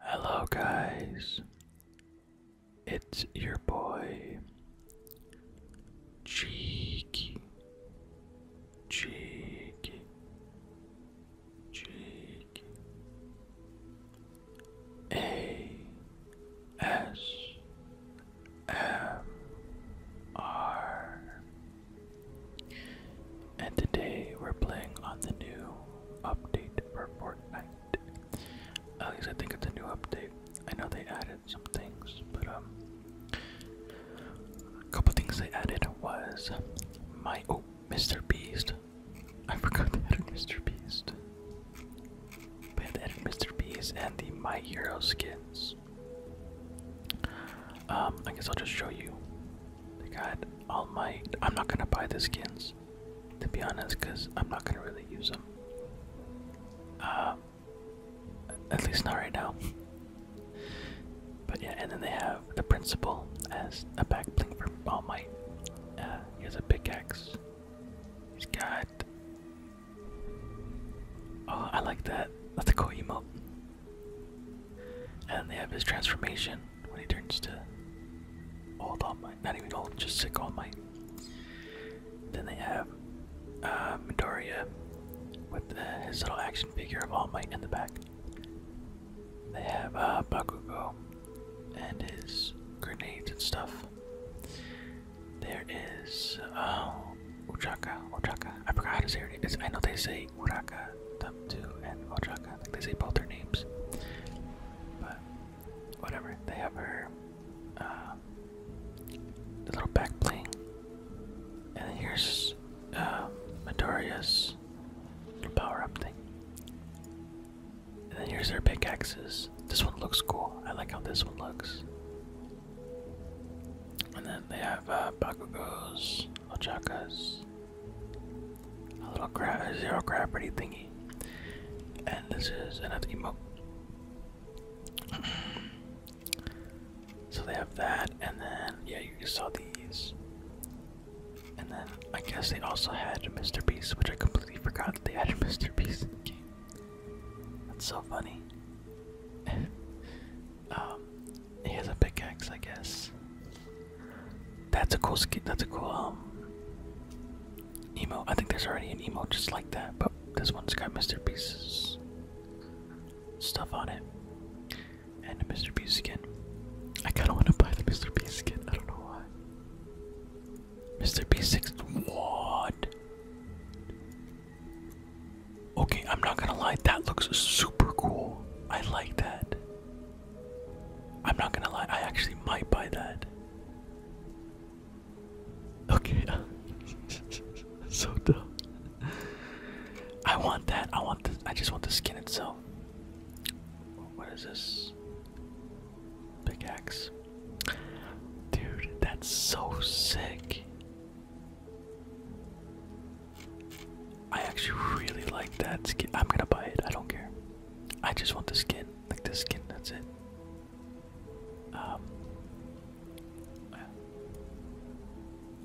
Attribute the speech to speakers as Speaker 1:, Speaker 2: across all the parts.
Speaker 1: Hello, guys. It's your boy Cheeky, Cheeky, Cheeky and today we're playing on the new update for at least I think it's a new update. I know they added some things, but um, a couple things they added was my oh, Mr. Beast. I forgot they added Mr. Beast. But they added Mr. Beast and the My Hero skins. Um, I guess I'll just show you. They got all my. I'm not gonna buy the skins to be honest, because I'm not gonna really use them. Uh, at least not right now. but yeah, and then they have the principal as a back bling for All Might. Uh, he has a pickaxe. He's got. Oh, I like that. That's a cool emote. And they have his transformation when he turns to Old All Might. Not even Old, just Sick All Might. Then they have uh, Midoriya with his little action figure of All Might in the back. They have uh, Bakugo and his grenades and stuff. There is uh, Uchaka, Ochaka. I forgot how to say her name. It's, I know they say Uraka, Tamtu, and Uchaka. I think they say both their names. But whatever. They have her uh, little back bling. And then here's uh, Midoriya's power up thing. And then here's their pickaxes. This one looks cool. I like how this one looks. And then they have uh, Bakugo's, Ochaka's, a little gra zero gravity thingy. And this is an emote. so they have that, and then, yeah, you saw these. And then I guess they also had Mr. Beast, which I completely forgot that they had Mr. Beast in the game. That's so funny. Um, he has a pickaxe, I guess. That's a cool skin. That's a cool um, I think there's already an emote just like that, but this one's got Mr. Beast's stuff on it and a Mr. Beast skin. I kind of want to buy the Mr. Beast skin. I don't know why. Mr. Beast six. What? Okay, I'm not gonna lie. That looks super cool. I like that. I'm not gonna lie, I actually might buy that. Okay. so dumb. I want that. I want the I just want the skin itself. What is this? Pickaxe. Dude, that's so sick. I actually really like that skin. I'm gonna buy it. I don't care. I just want the skin, like the skin. That's it. Um,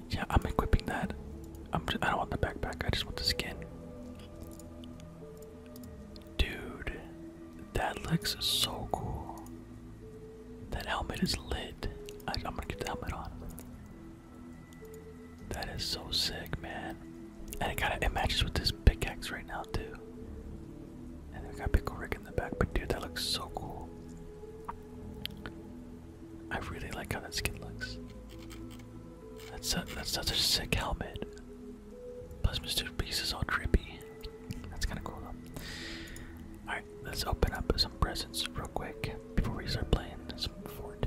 Speaker 1: yeah, I'm equipping that. I'm. Just, I don't want the backpack. I just want the skin. Dude, that looks so cool. That helmet is lit. I'm gonna get the helmet on. That is so sick, man. And it kind of it matches with this pickaxe right now too. And they've got Pickle Rick in the back, but dude, that looks so cool. I really like how that skin looks. That's a, that's such a sick helmet. Plus, Mr. Beast is all trippy. That's kind of cool All right, let's open up some presents real quick before we start playing this Fort.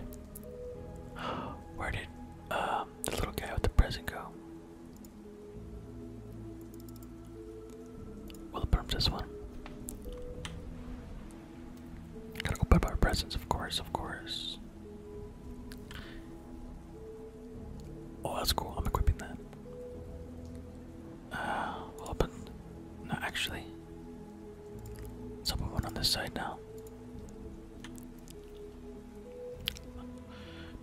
Speaker 1: Where did uh, the little guy with the present go? We'll burn this one. Gotta go put up our presents, of course, of course. Oh, that's cool. I'm equipping that. Uh, open. No, actually. Let's open one on this side now.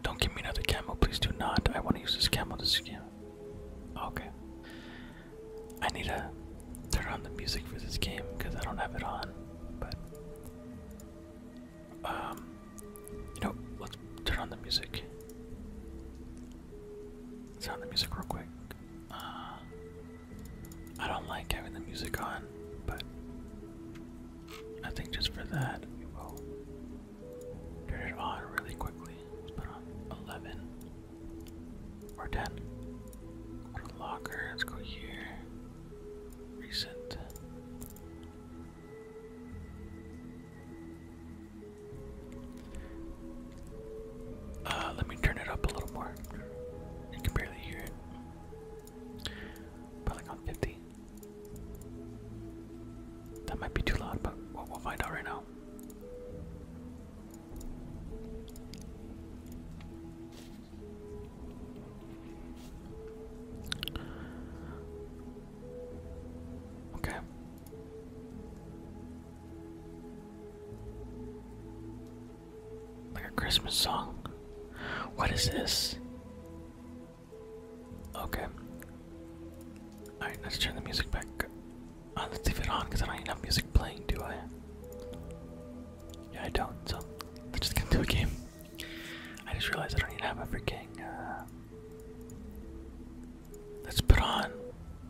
Speaker 1: Don't give me another camo, please do not. I want to use this camo. to camo. Okay. I need to turn on the music for this game because I don't have it on. But um, you know, let's turn on the music. turn on the music real quick. Uh, I don't like having the music on, but I think just for that, turn it on really quickly. Let's put on 11 or 10. locker, let's go here. Recent. Uh, let me turn it up a little more. You can barely hear it. Probably on 50. That might be too loud, but we'll find out right now. Okay. Like a Christmas song. What is this? Okay. Alright, let's turn the music back. Uh, let's leave it on because I don't even have music playing, do I? Yeah, I don't, so let's just get into a game. I just realized I don't even have a freaking. Uh... Let's put on.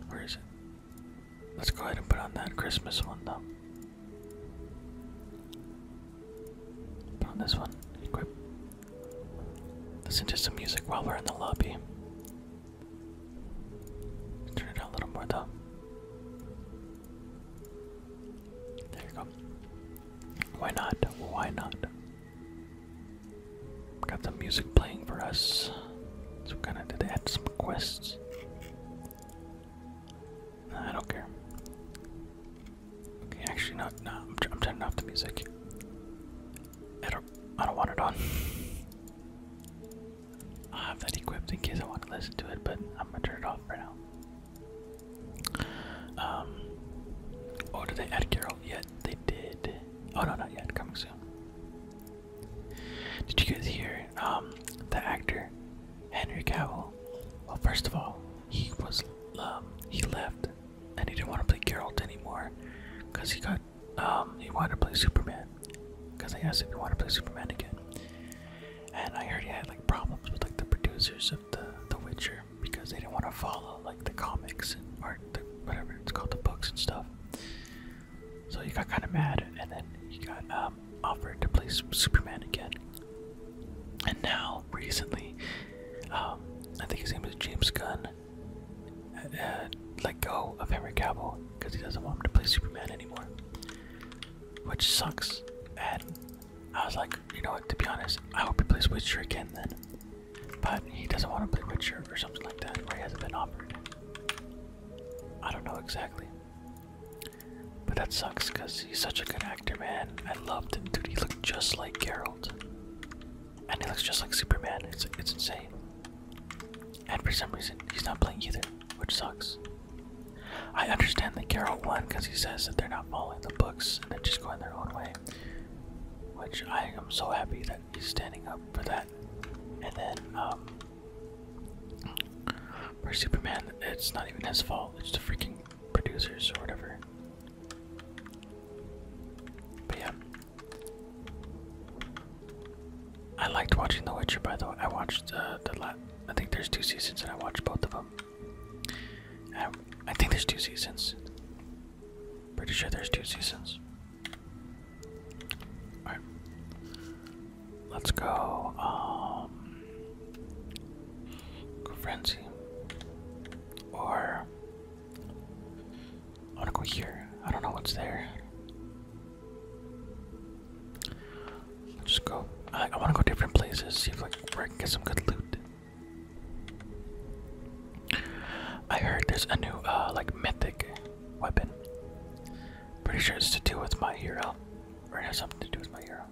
Speaker 1: Where is it? Let's go ahead and put on that Christmas one, though. On this one, Listen to some music while we're in the lobby. Turn it down a little more though. There you go. Why not? Why not? Got some music playing for us. So, kind of did add some quests? I don't care. Okay, actually, not. Nah, I'm, turning off the music. I don't. I don't want it on. I have that equipped in case I want to listen to it, but I'm gonna turn it off for now. Um. Oh, did they add Carol yet? They did. Oh no, not yet. Coming soon. Did you guys hear? Um, the actor Henry Cavill. Well, first of all, he was um, he left and he didn't want to play Geralt anymore because he got um, he wanted to play Superman because I asked if he wanted to play Superman again and I heard he had like problems with like the producers of the The Witcher because they didn't want to follow like the comics and art the, whatever it's called the books and stuff so he got kind of mad and then he got um, offered to play Superman again and now, recently, um, I think his name is James Gunn, uh, let go of Henry Cavill because he doesn't want him to play Superman anymore, which sucks. And I was like, you know what? To be honest, I hope he plays Witcher again then. But he doesn't want to play Witcher or something like that, where he hasn't been offered. I don't know exactly. But that sucks because he's such a good actor, man. I loved him, dude. He looked just like Geralt. And he looks just like Superman. It's, it's insane. And for some reason, he's not playing either, which sucks. I understand that Geralt won because he says that they're not following the books and they're just going their own way. Which I am so happy that he's standing up for that. And then, um, for Superman, it's not even his fault. It's the freaking producers or whatever. But yeah. I liked watching The Witcher, by the way. I watched uh, the la I think there's two seasons, and I watched both of them. Um, I, think there's two seasons. Pretty sure there's two seasons. All right, let's go. Um, Go Frenzy. Or I wanna go here. I don't know what's there. just go. I, I wanna go different places, see if like I can get some good loot. I heard there's a new uh like mythic weapon. Pretty sure it's to do with my hero. Or it has something to do with my hero.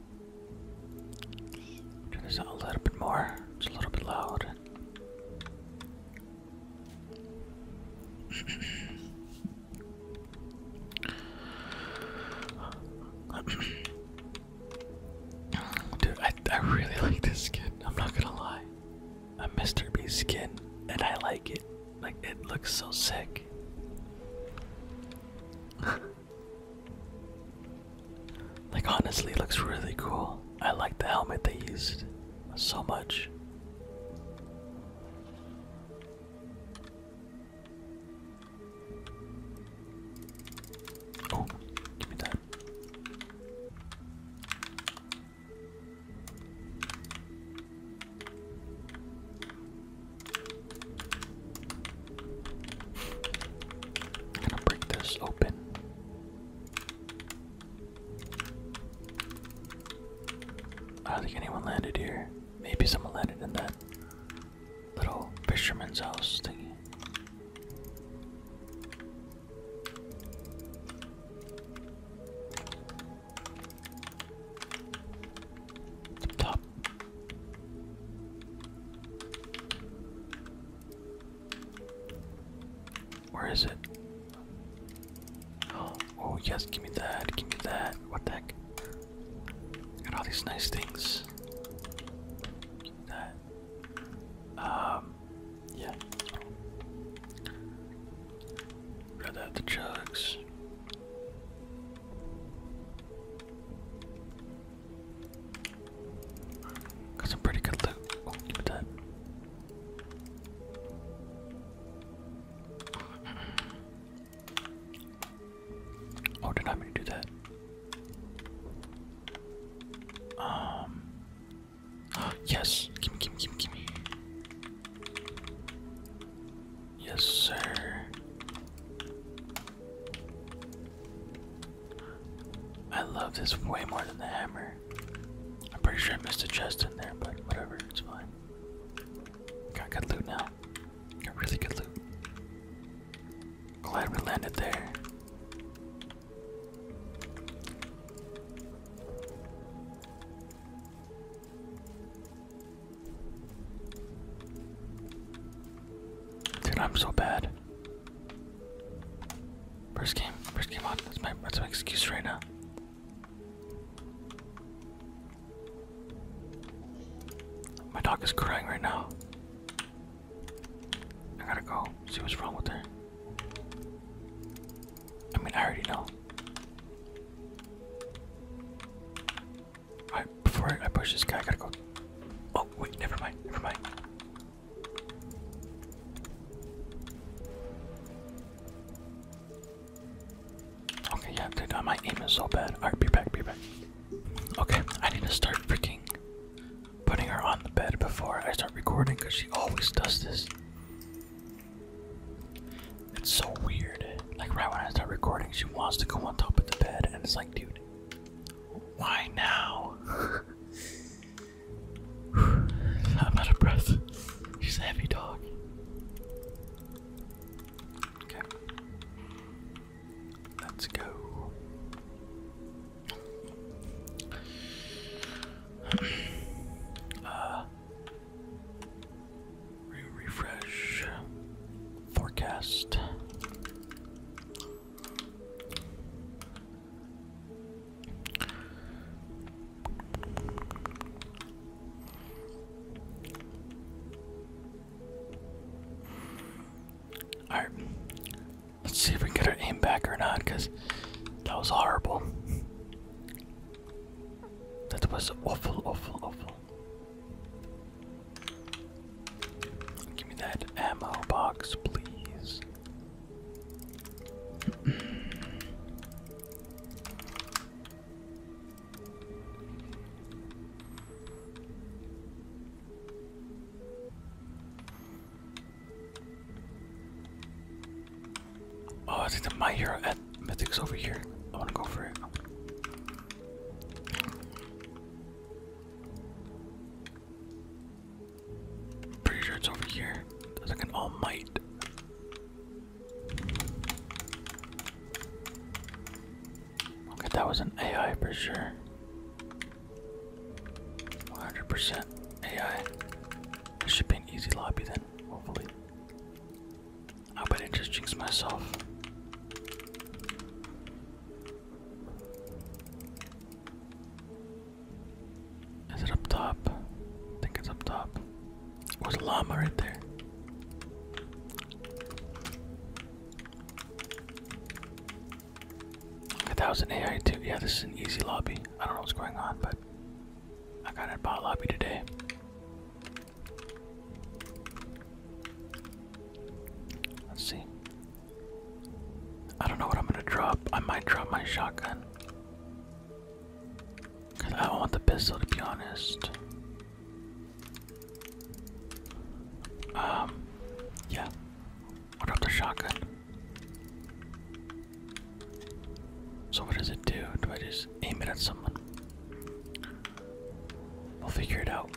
Speaker 1: Turn this out a little bit more. It's a little bit loud. Dude, I, I really like this skin. I'm not gonna lie. A Mr. B skin, and I like it. Like, it looks so sick. Like honestly, it looks really cool. I like the helmet they used so much. Oh, give me that. I'm gonna break this open. I don't think anyone landed here. Maybe someone landed in that little fisherman's house thingy. Top where is it? Oh, yes, give me that, give me that. What the heck? Got all these nice things. Give me that. Um, yeah. Rather have the jugs. Got some pretty good loot. Oh, oh did I do that? Um. Yes. Gimme, gimme, gimme, gimme. Yes, sir. I love this way more than the hammer. I'm pretty sure I missed a chest in there, but whatever, it's fine. Got good loot now. Got really good loot. Glad we landed there. Dude, I'm so bad. First game, first game on. That's my that's my excuse right now. My dog is crying right now. I gotta go see what's wrong with her. I mean, I already know. Alright, before I push this guy, I gotta go. Oh, wait, never mind, never mind. Okay, yeah, dude, uh, my aim is so bad. Alright, be back, be back. Okay, I need to start freaking putting her on the bed before I start recording because she always does this. It's so weird. Like, right when I start recording, she wants to go on top of the bed, and it's like, dude, why now? I'm out of breath. She's a heavy dog. Okay. Let's go. Uh, refresh forecast. Alright, let's see if we can get our aim back or not, because that was horrible. That was awful, awful, awful. Give me that ammo box, please. oh, I think the My Hero at Mythic's over here. I want to go for it. Pretty sure it's over here. That's like an all might. Okay, that was an AI for sure. 100% AI. This should be an easy lobby then, hopefully. I bet I just jinxed myself. Is it up top? I think it's up top. There's a llama right there. A thousand AI too. Yeah, this is an easy lobby. I don't know what's going on, but I got a bot lobby today. Let's see. I don't know what I'm gonna drop. I might drop my shotgun. Cause I want the pistol to be honest. Um yeah. What about the shotgun? So what does it do? Do I just aim it at someone? We'll figure it out.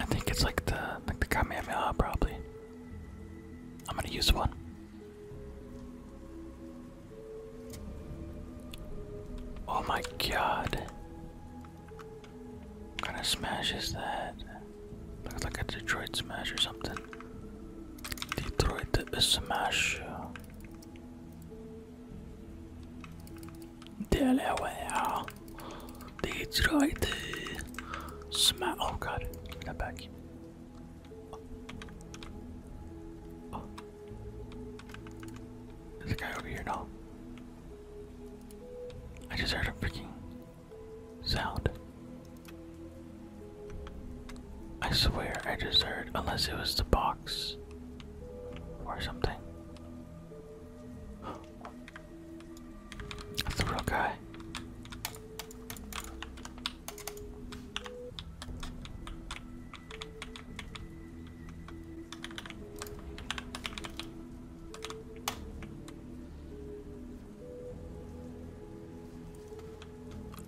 Speaker 1: I think it's like the like the Kamehameha probably. I'm gonna use one. Oh my god. kind of smashes that? Looks like a Detroit smash or something. Detroit smash. Delaware. That's right. Smart. Oh god, I got back. Oh. Oh. There's a guy over here now. I just heard a freaking sound. I swear I just heard, unless it was the box or something. That's the real guy.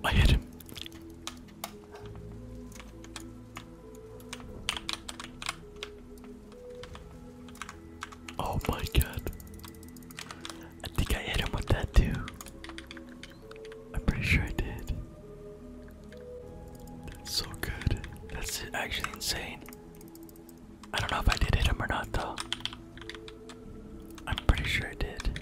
Speaker 1: I hit him. Oh my god. I think I hit him with that too. I'm pretty sure I did. That's so good. That's actually insane. I don't know if I did hit him or not though. I'm pretty sure I did.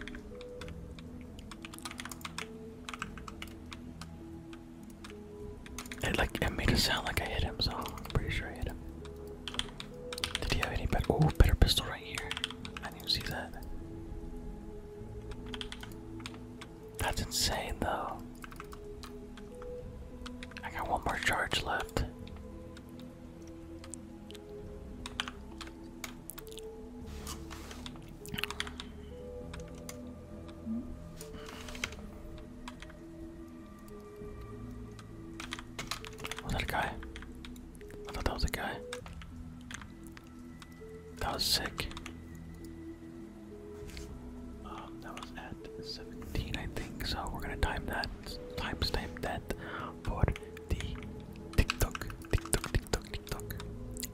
Speaker 1: It like it made it sound like I hit him, so I'm pretty sure I hit him. Did he have any better? Oh, better pistol right here. I didn't see that. That's insane, though. I got one more charge left. Was that a guy? I thought that was a guy. That was sick. Um, that was at 17, I think. So we're gonna time that, timestamp that for the TikTok, TikTok, TikTok,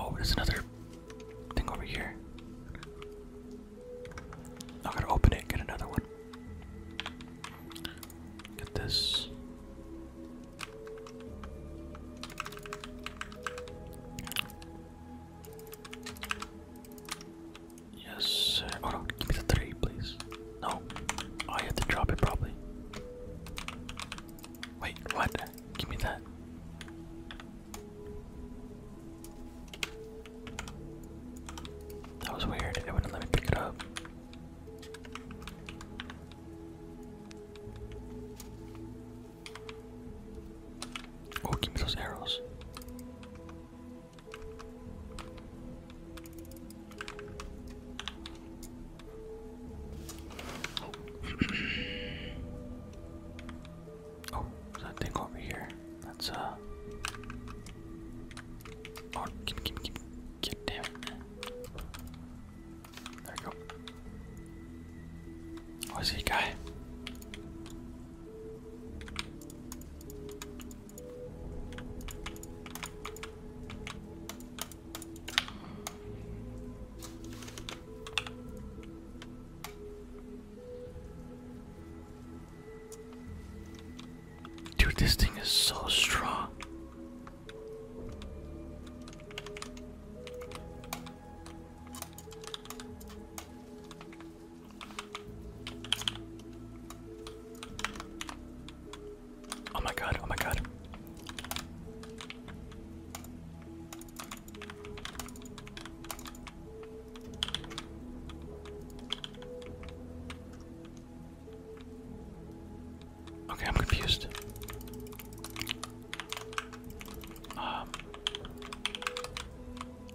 Speaker 1: Oh, there's another thing over here. I gotta open it and get another one. Get this. Yes, Oh no, give me the three, please. No. I had to drop it probably. Wait, what? Give me that. That was weird. It wouldn't let me pick it up. Oh, give me those arrows oh, oh that thing over here. That's uh. Oh, keep, keep, keep, get down. There you go. Oh, I guy. Dude, this thing is so strong. Oh my god, oh my god. Okay, I'm confused. Um,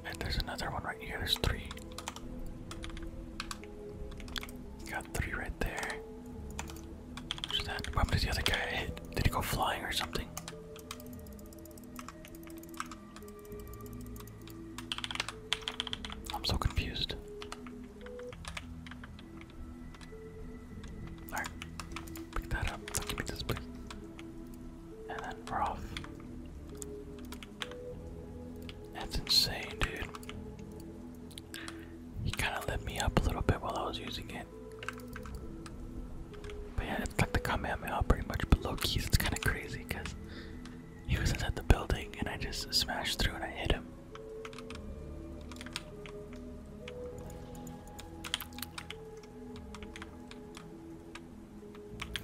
Speaker 1: and there's another one right here. There's three. Got three right there. What did the other guy hit? Did he go flying or something? I'm so confused. Alright, pick that up. So give me this, please. And then we're off. That's insane, dude. He kind of lit me up a little bit while I was using it. But yeah, it's like the out pretty much, but low keys it's kind of crazy because he was inside the building and I just smashed through and I hit him.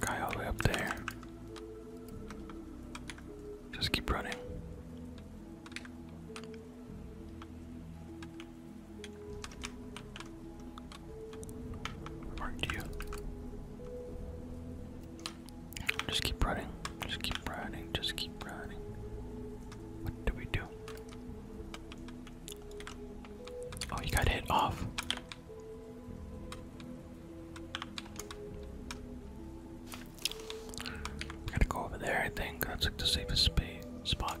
Speaker 1: Guy all the way up there. Just keep running. Aren't you? Just keep running. Just keep running. Just keep running. What do we do? Oh, you got hit off. gotta go over there, I think. That's like the safest spot.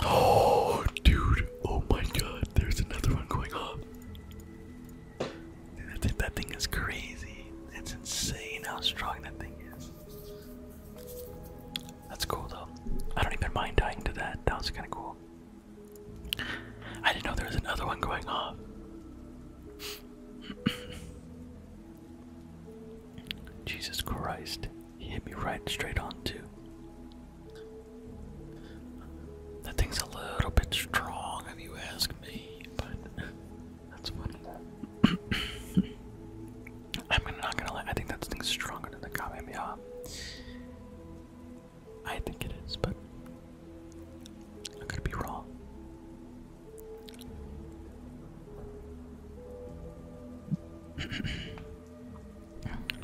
Speaker 1: Oh, dude. Oh my god. There's another one going off. that, that thing is crazy. It's insane how strong that thing is. That's cool though. I don't even mind dying to that. That was kind of cool. I didn't know there was another one going off. Jesus Christ. He hit me right straight on, too. That thing's a little bit strong, if you ask me, but that's funny. I'm not gonna lie, I think that thing's stronger than the Kamehameha. I think it is, but I could be wrong.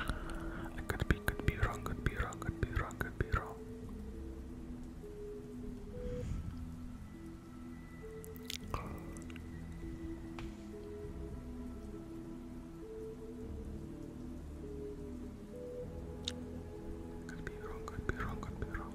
Speaker 1: I could be, could be wrong, could be wrong, could be wrong, could be wrong. Could be wrong, could be could be wrong.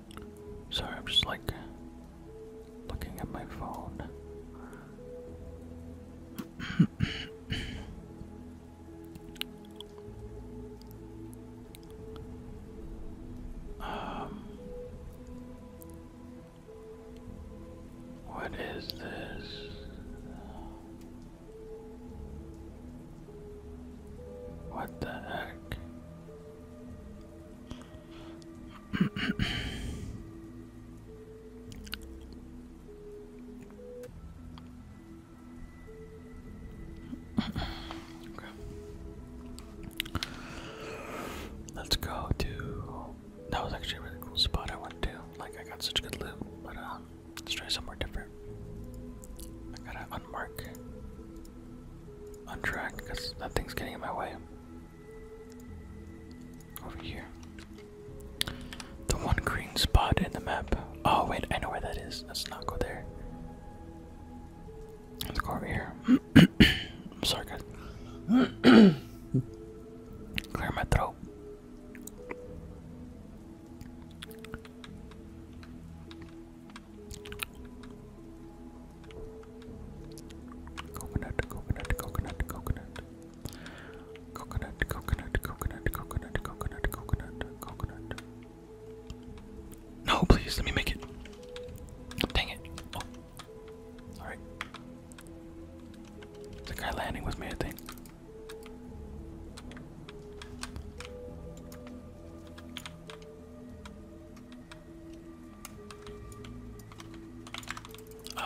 Speaker 1: Sorry, I'm just like looking at my phone. Um, what is this? What the heck? Let's go to. That was actually a really cool spot I went to. Like, I got such good loot, but uh, let's try somewhere different. I gotta unmark on track because that thing's getting in my way. Over here. The one green spot in the map. Oh, wait, I know where that is. Let's not go there. Let's go over here. I'm sorry, guys. Clear my throat. Coconut, coconut, coconut, coconut. Coconut, coconut, coconut, coconut, coconut, coconut, coconut. No, please, let me make it. Dang it. Oh. Alright. The guy landing was me, I think.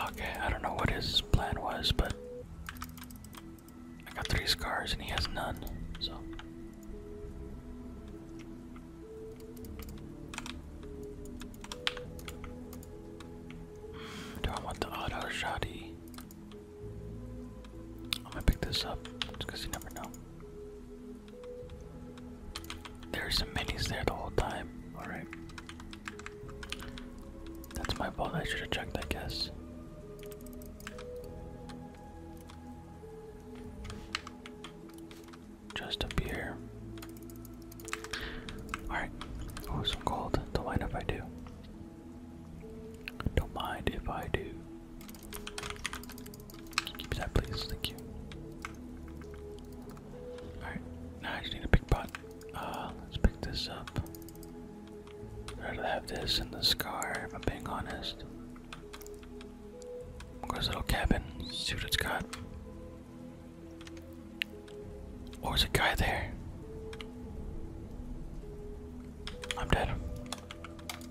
Speaker 1: Okay, I don't know what his plan was, but I got three scars and he has none, so. Do I want the auto shoddy? I'm gonna pick this up because you never know. There's some minis there the whole time. Alright. That's my fault. I should have checked, I guess. Just up here. Alright. Oh, some gold. Don't mind if I do. Don't mind if I do. Keep that, please. Thank you. Alright, now I just need a big pot. Uh, let's pick this up. I'd have this in the scar, if I'm being honest. Where's little cabin? See what it's got. Oh, there's a guy there. I'm dead.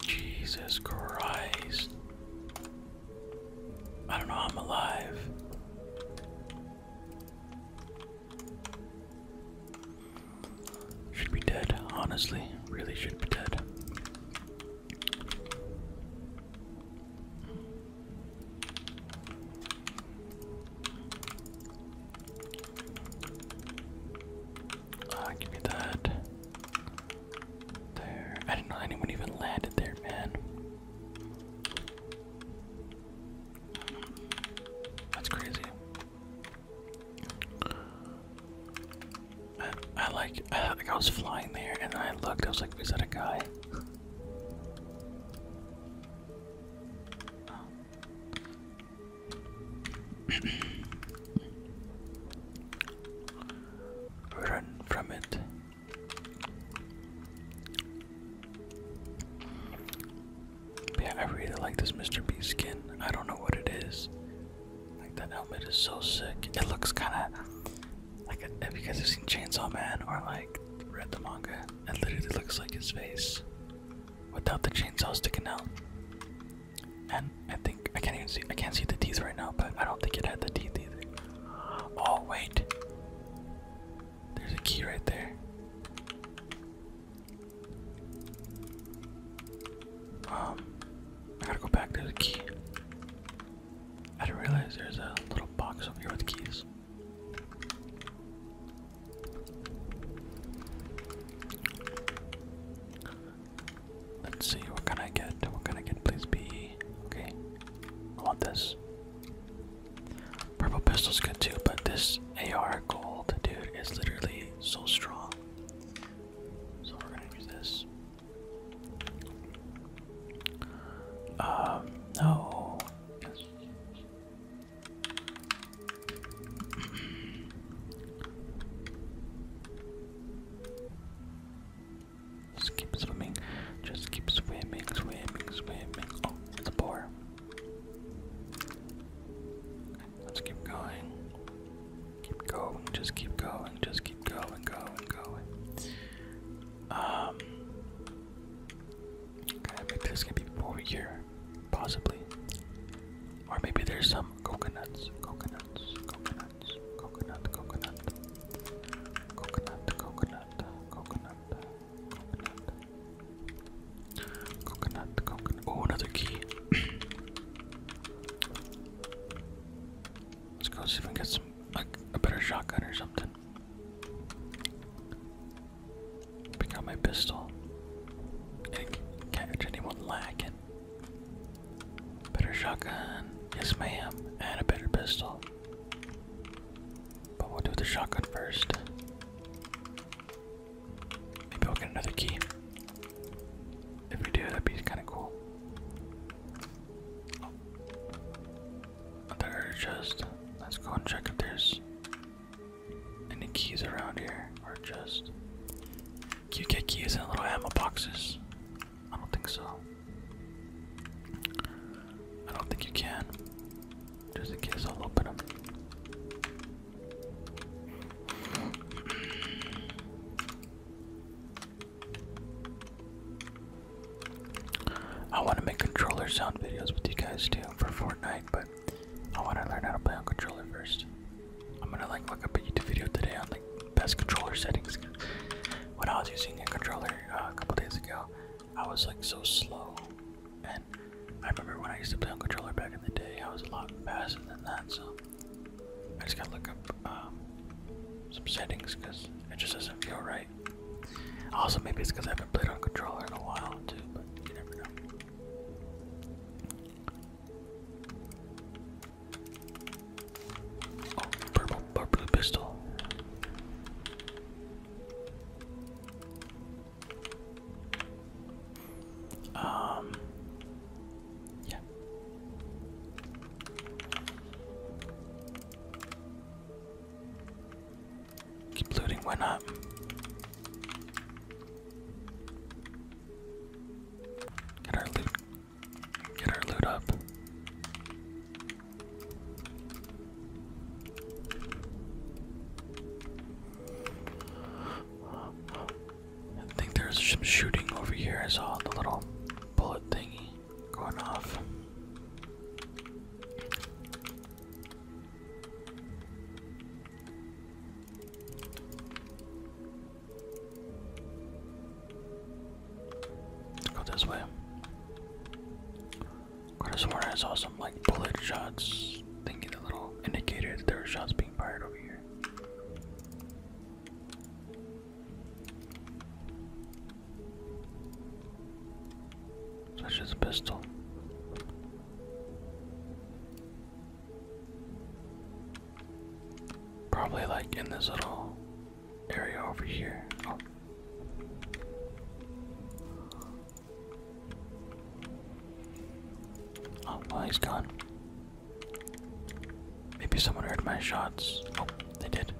Speaker 1: Jesus Christ. I don't know I'm alive. Should be dead, honestly. Really should be dead. Ah, give me that. There. I didn't know anyone even landed there, man. That's crazy. I, I like, I, like I was flying there and I looked, I was like, is that a guy? Run from it. yeah, I really like this Mr. Beast skin. I don't know what it is. Like that helmet is so sick. It looks kind of like if you guys have seen Chainsaw Man or like read the manga? It literally looks like his face without the chainsaw sticking out. And I think I can't even see I can't see the teeth right now, but I don't think it had the teeth either. Oh wait. There's a key right there. Um I gotta go back, there's a key. I didn't realize there's a little box over here with keys. Let's see, what can I get? What can I get? Please be. Okay. I want this. Purple pistol's good too, but this AR gold, dude, is literally so strong. So we're gonna use this. Um, no. Just keep swimming. Just keep swimming, swimming, swimming. Oh, it's a boar. Let's keep going. Keep going. Just keep going. Just keep going, going, going. Um. Okay, maybe there's gonna be people over here possibly. Or maybe there's some coconuts, coconuts, coconuts, coconut, coconut, coconut, coconut, coconut, coconut, coconut, coconut. Oh, another key. Let's go see if we can get some, like, a better shotgun or something. Pick up my pistol and catch anyone lacking. Better shotgun, yes ma'am, and a better pistol. But we'll do the shotgun first. Maybe we'll get another key. If we do, that'd be kind of cool. Oh. Another Let's go and check if any keys around here? Or just. Do you get keys in little ammo boxes? I don't think so. I don't think you can. Just in case I'll open them. I want to make controller sound videos with you guys too for Fortnite, but I want to learn how to play on controller first. I'm gonna like look up a YouTube video today on like best controller settings. When I was using a controller uh, a couple days ago, I was like so slow, and I remember when I used to play on controller back in the day, I was a lot faster than that. So I just gotta look up um, some settings because it just doesn't feel right. Also, maybe it's because I haven't played on controller in a while too, but you never know. Oh, purple, purple pistol. Um, yeah. Keep looting, why not? Get our loot. Get our loot up. I think there's some shooting over here. I saw the little bullet thingy going off let go this way. Could have sworn I saw some like bullet shots thinking the little indicator that there were shots being fired over here. Such as a pistol. Probably like in this little area over here. Oh. Oh, he's gone. Maybe someone heard my shots. Oh, they did.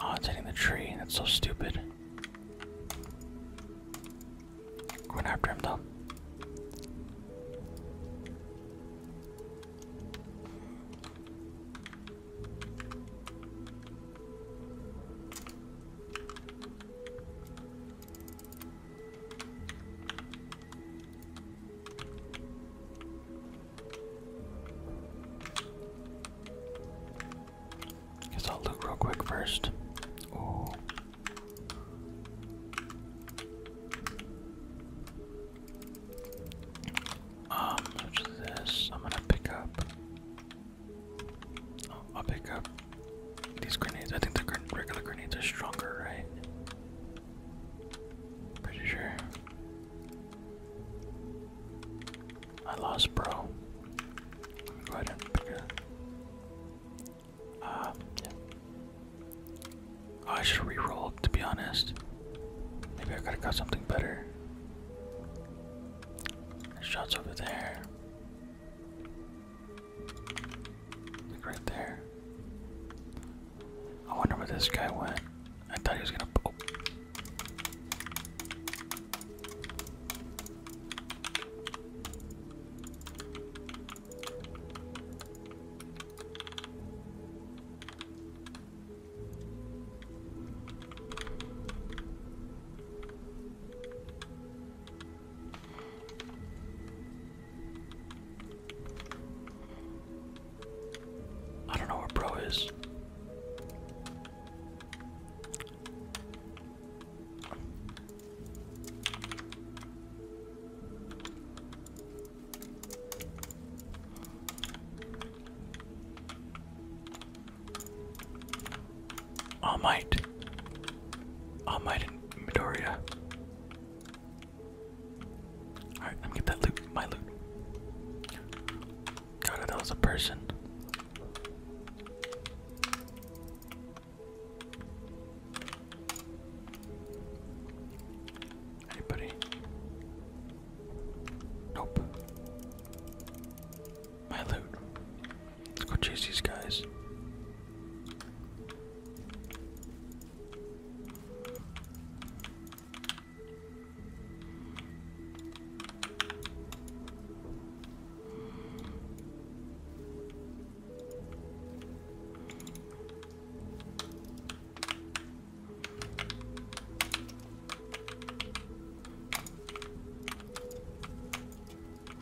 Speaker 1: Oh, it's hitting the tree. That's so stupid. Going after him, though. Guess I'll look real quick first. Um, this? I'm gonna pick up. Oh, I'll pick up these grenades. I think the regular grenades are stronger, right? Pretty sure. I lost, bro. go ahead and ah, yeah. Oh, I should re-roll, to be honest. Maybe I could have got something better. There's shots over there. Look right there. I wonder where this guy went. I thought he was gonna. Oh. I don't know where Bro is. All Might. All Alright, I'm get that loot, my loot. God, that was a person. Anybody? Nope. My loot. Let's go chase these guys.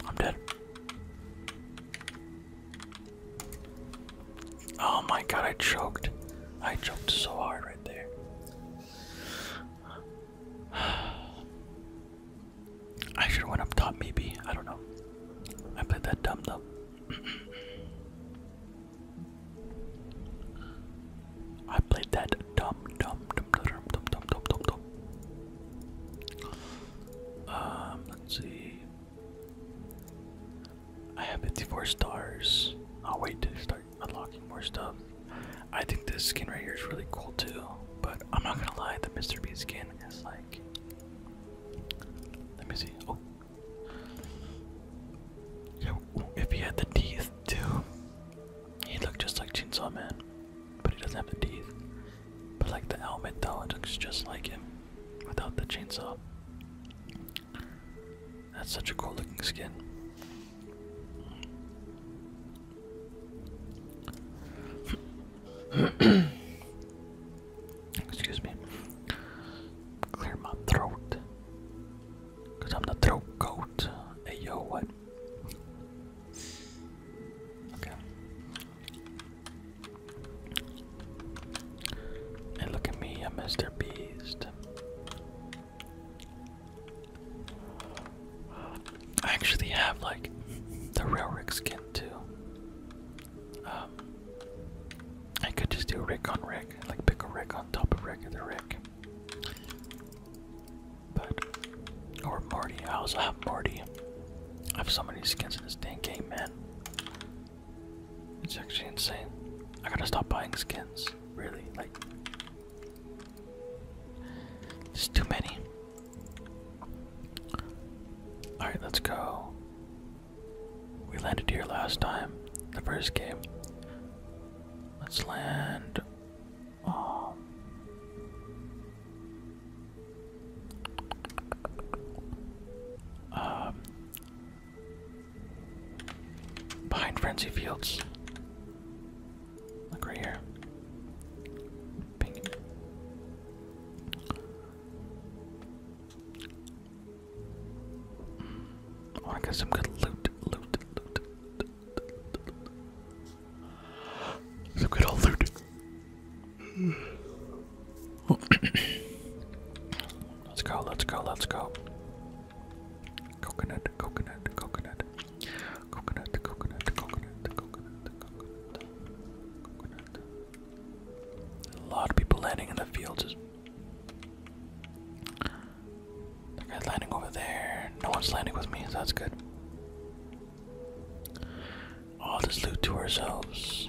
Speaker 1: I'm dead. Oh my god, I choked. I choked so hard right there. I should have went up top maybe. I don't know. I played that dumb though. I played that dumb dumb dumb dumb dumb dumb dumb dumb dumb. Um let's see. I have 54 stars. I'll wait to start unlocking more stuff. I think this skin right here is really cool too, but I'm not gonna lie, the Mr. Beast skin is like. Let me see. Oh. if he had the teeth too, he'd look just like Chainsaw Man, but he doesn't have the teeth. But like the helmet though, it looks just like him without the chainsaw. That's such a cool looking skin. Excuse me. Clear my throat. i I'm the throat goat. Hey yo, what? Okay. And look at me, I'm Mr. Beast. I actually have like the real Rick skin too. Um, I could just do Rick on Rick, like pick a Rick on top of regular Rick. But or Marty, I also have Marty. I have so many skins in this dang game, man. It's actually insane. I gotta stop buying skins. Really, like, there's too many. Alright, let's go. We landed here last time, the first game. Let's land. um, um Behind Frenzy Fields. Look right here. Ping. Mm. Oh, I want some good loot, Some good old loot. let's go, let's go, let's go. Coconut, coconut, coconut. Coconut, coconut, coconut, coconut, coconut, coconut. A lot of people landing in the fields. That guy's landing over there. No one's landing with me, so that's good. All this loot to ourselves.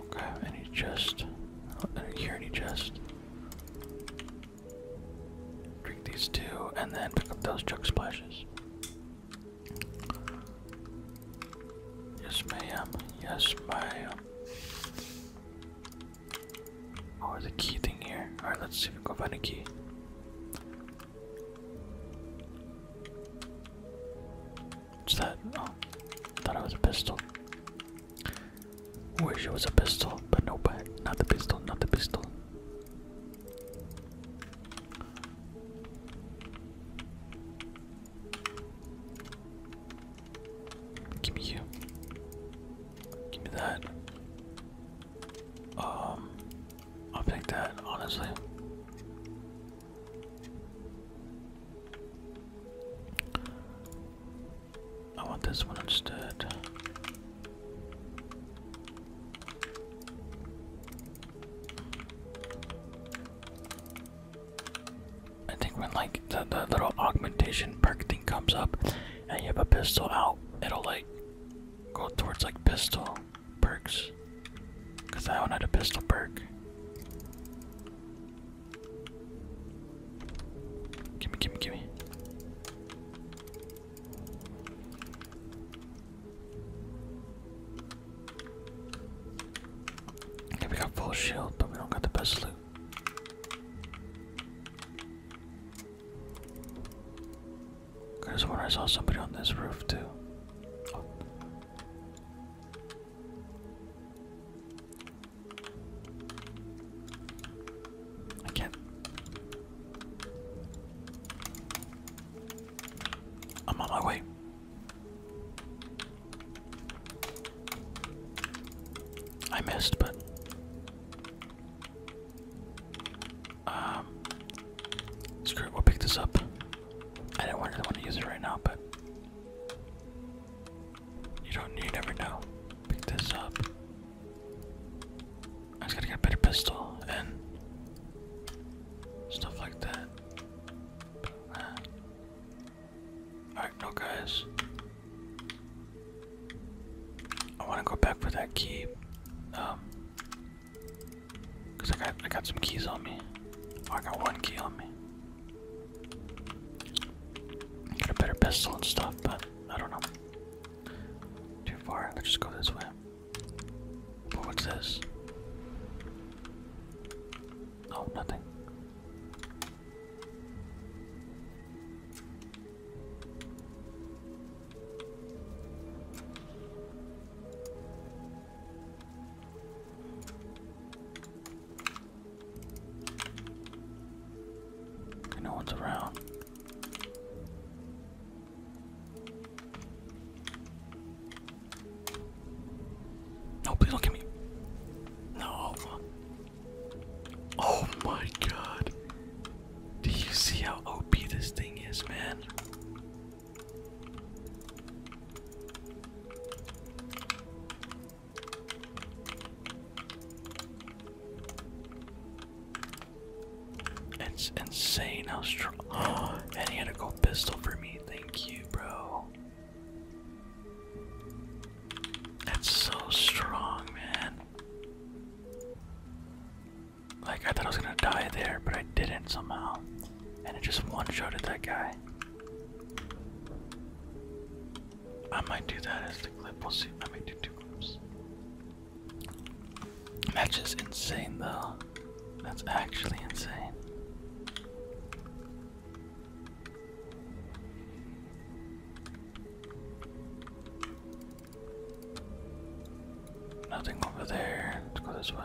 Speaker 1: Okay, any chest? any chest. Drink these two and then pick up those jug splashes. Yes, ma'am. Yes, ma'am. Oh, the key thing here. Alright, let's see if we can find a key. What's that? Oh, I thought it was a pistol. Wish it was a pistol, but nope. not the pistol, not the pistol. Give me you. Give me that. Um, I'll take that, honestly. I want this one instead. I think when like the, the little augmentation perk thing comes up and you have a pistol out, it'll like go towards like pistol perks. Cause I that one have a pistol perk. Gimme, gimme, gimme. Okay, we got full shield, but we don't got the best loot. I just wonder, I saw somebody on this roof too. I can't. I'm on my way. I missed, but um, screw it. We'll pick this up. I don't really want to use it right now, but you don't you never know. Pick this up. I just gotta get a better pistol and stuff like that. Alright, no guys. I wanna go back for that key. Um Cause I got I got some keys on me. Oh, I got one key on me. got a better pistol and stuff, but I don't know. Too far. Let's just go this way. what's this? Oh, nothing. And no one's around. No, please don't get me. No. Oh my god. Do you see how OP this thing is, man? It's insane how strong. and he had a gold pistol for me. Thank you, bro. That's so strong, man. Like, I thought I was gonna die there, but I didn't somehow. And it just one shot at that guy. I might do that as the clip. We'll see. I might do two clips. That's just insane, though. That's actually insane. Nothing over there. Let's go this way.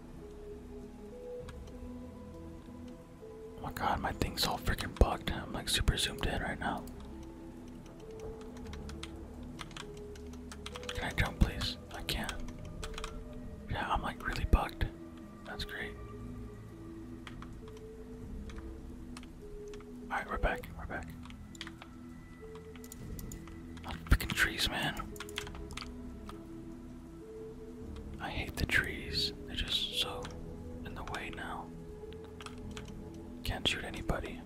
Speaker 1: Oh my god, my thing's all freaking bugged. I'm like super zoomed in right now. Can I jump, please? I can't. Yeah, I'm like really bugged. That's great. Alright, we're back. We're back. Oh, freaking trees, man. I hate the trees. They're just so in the way now. Can't shoot anybody.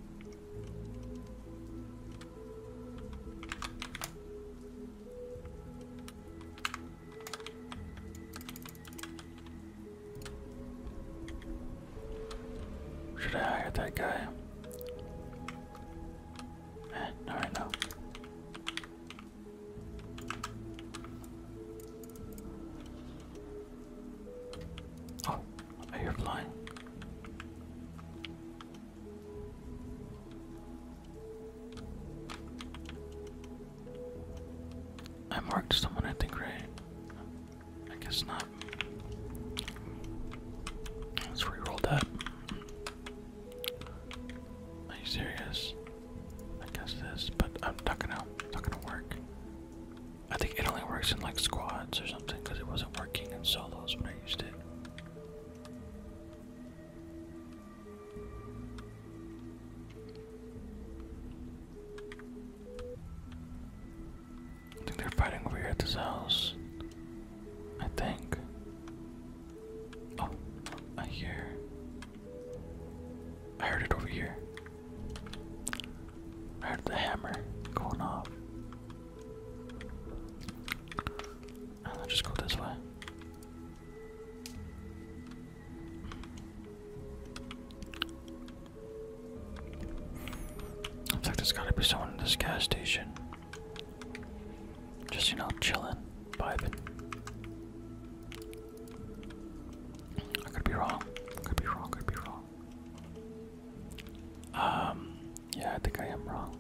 Speaker 1: Should I hire that guy? Eh, not right Oh, are you flying? I marked someone, I think, right? I guess not. Let's reroll that. Are you serious? I guess this, but I'm not gonna, not gonna work. I think it only works in like squads or something because it wasn't working in solos when I used it. I think they're fighting over here at this house. I think. Oh, I hear. I heard it over here. I heard the hammer going off. And i just go this way. Looks like there's gotta be someone in this gas station. Just, you know, chilling, vibing. I could be wrong. Could be wrong, could be wrong. Um, yeah, I think I am wrong.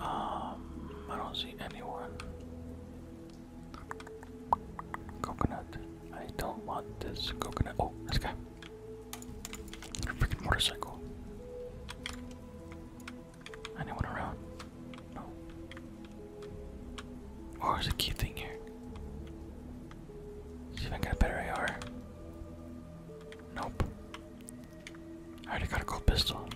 Speaker 1: Um, I don't see anyone. Coconut. I don't want this coconut. Oh, this guy. A freaking motorcycle. Anyone around? No. Oh, there's a key thing here. See if I can a better AR. Nope. I already got a gold pistol.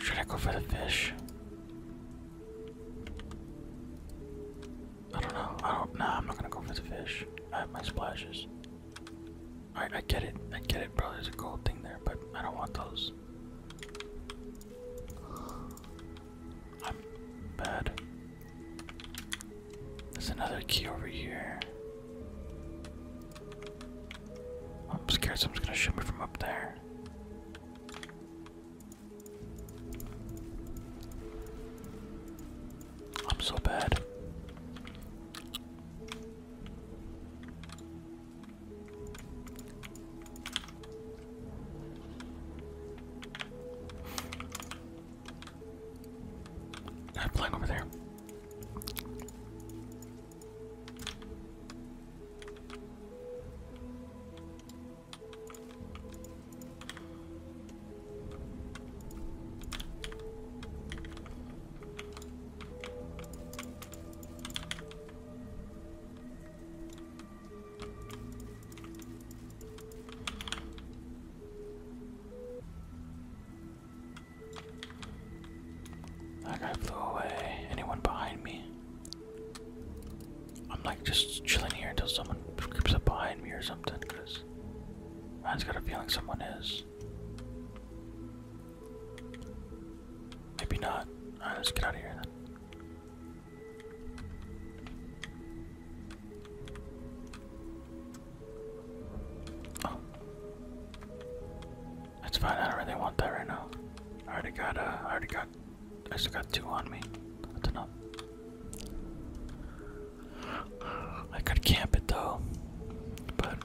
Speaker 1: Should I go for the fish? I don't know. I don't. Nah, I'm not gonna go for the fish. I have my splashes. Alright, I get it. I get it, bro. There's a gold thing there, but I don't want those. I'm bad. There's another key over here. I'm scared someone's gonna shoot me from up there. I'm so bad. I'm over there. That guy flew away. Anyone behind me? I'm like just chilling here until someone creeps up behind me or something, because I man's got a feeling someone is. Maybe not. Alright, let's get out of here oh. That's fine, I don't really want that right now. I already got uh already got I still got two on me. That's enough. I could camp it though, but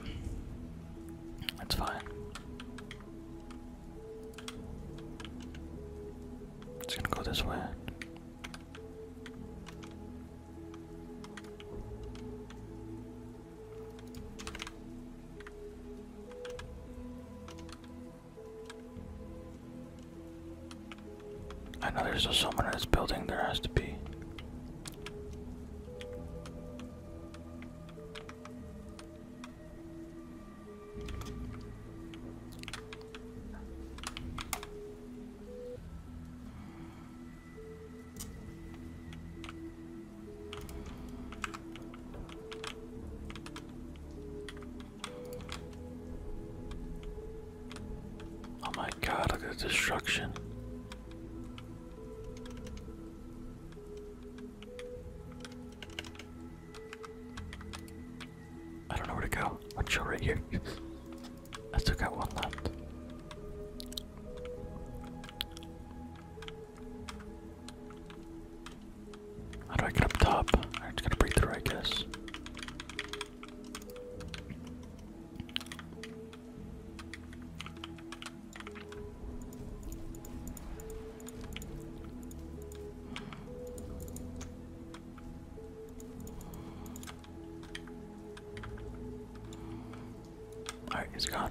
Speaker 1: that's fine. It's gonna go this way. I know there's still someone in this building, there has to be. Oh my god, look at the destruction. I don't know where to go. One show right here. I still got one left. How do I get up top? I just gotta break through, I guess. Alright, he's gone.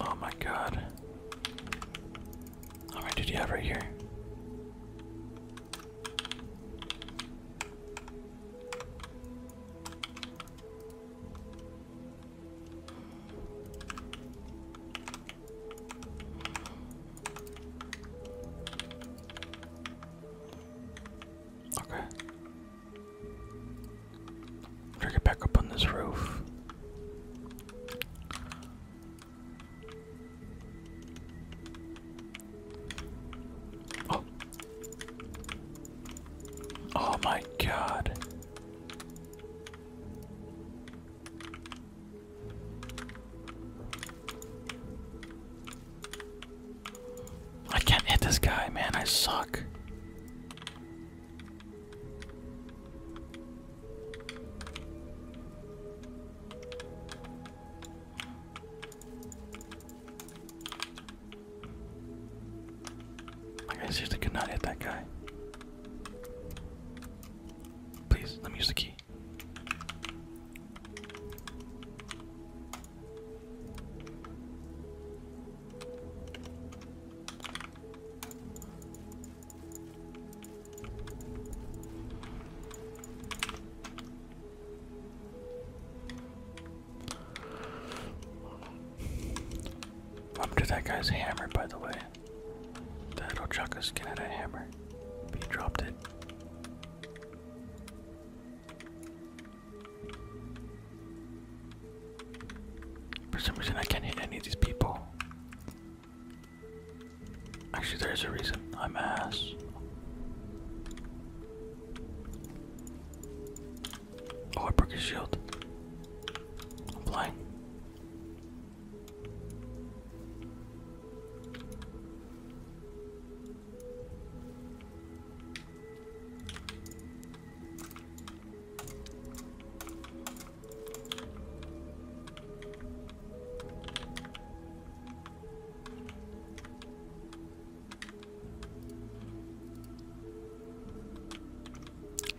Speaker 1: Oh my god. How many did you have right here? Okay. get back up on this roof. Oh, oh my god. I can't hit this guy, man. I suck. I guess I just could not hit that guy. Please, let me use the key. Up to that guy's hammer, by the way. Okay. That'll chuck a skin a hammer. He dropped it. For some reason, I can't hit any of these people. Actually, there is a reason. I'm ass. Oh, I broke his shield. I'm flying.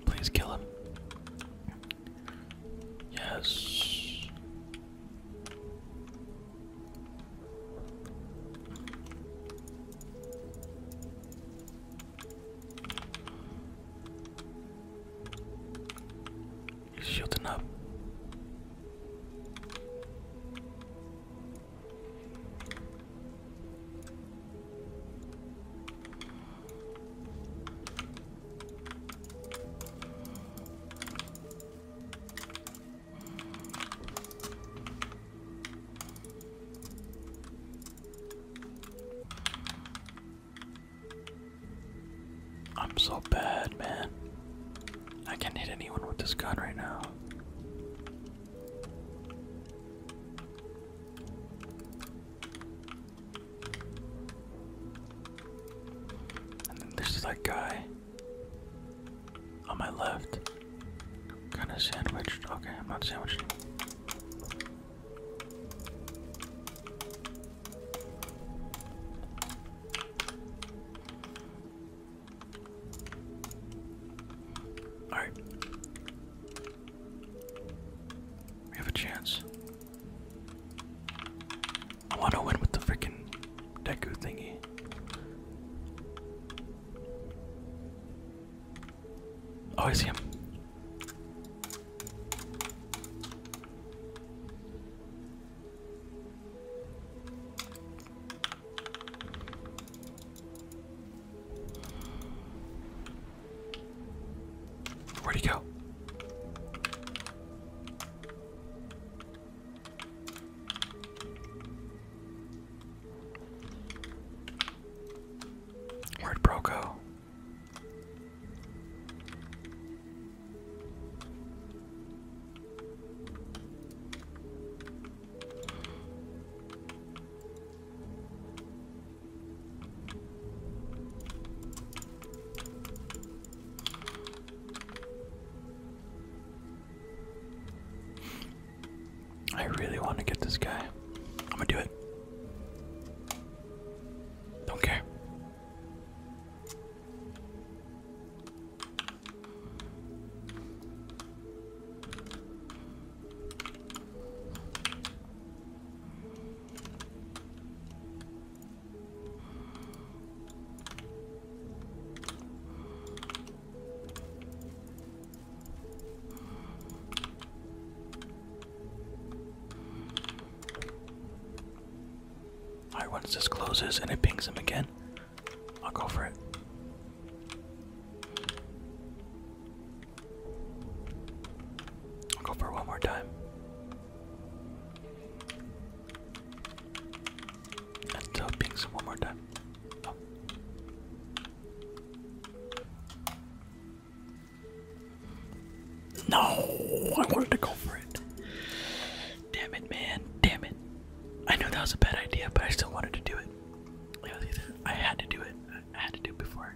Speaker 1: Please kill him. Yes. He's up. I'm so bad, man. I can't hit anyone with this gun right now. And then there's that guy on my left. Kind of sandwiched. Okay, I'm not sandwiched Alright. We have a chance. I want to win with the freaking Deku thingy. Oh, I see him. Where'd he go? Where'd Bro go? I really want to get this guy. I'm gonna do it. Don't care. Alright, once this closes and it pings him again, I'll go for it i go for one more time. And uh, pinks one more time. Oh. No, I wanted to go for it. Damn it, man. Damn it. I know that was a bad idea, but I still wanted to do it. I had to do it. I had to do it before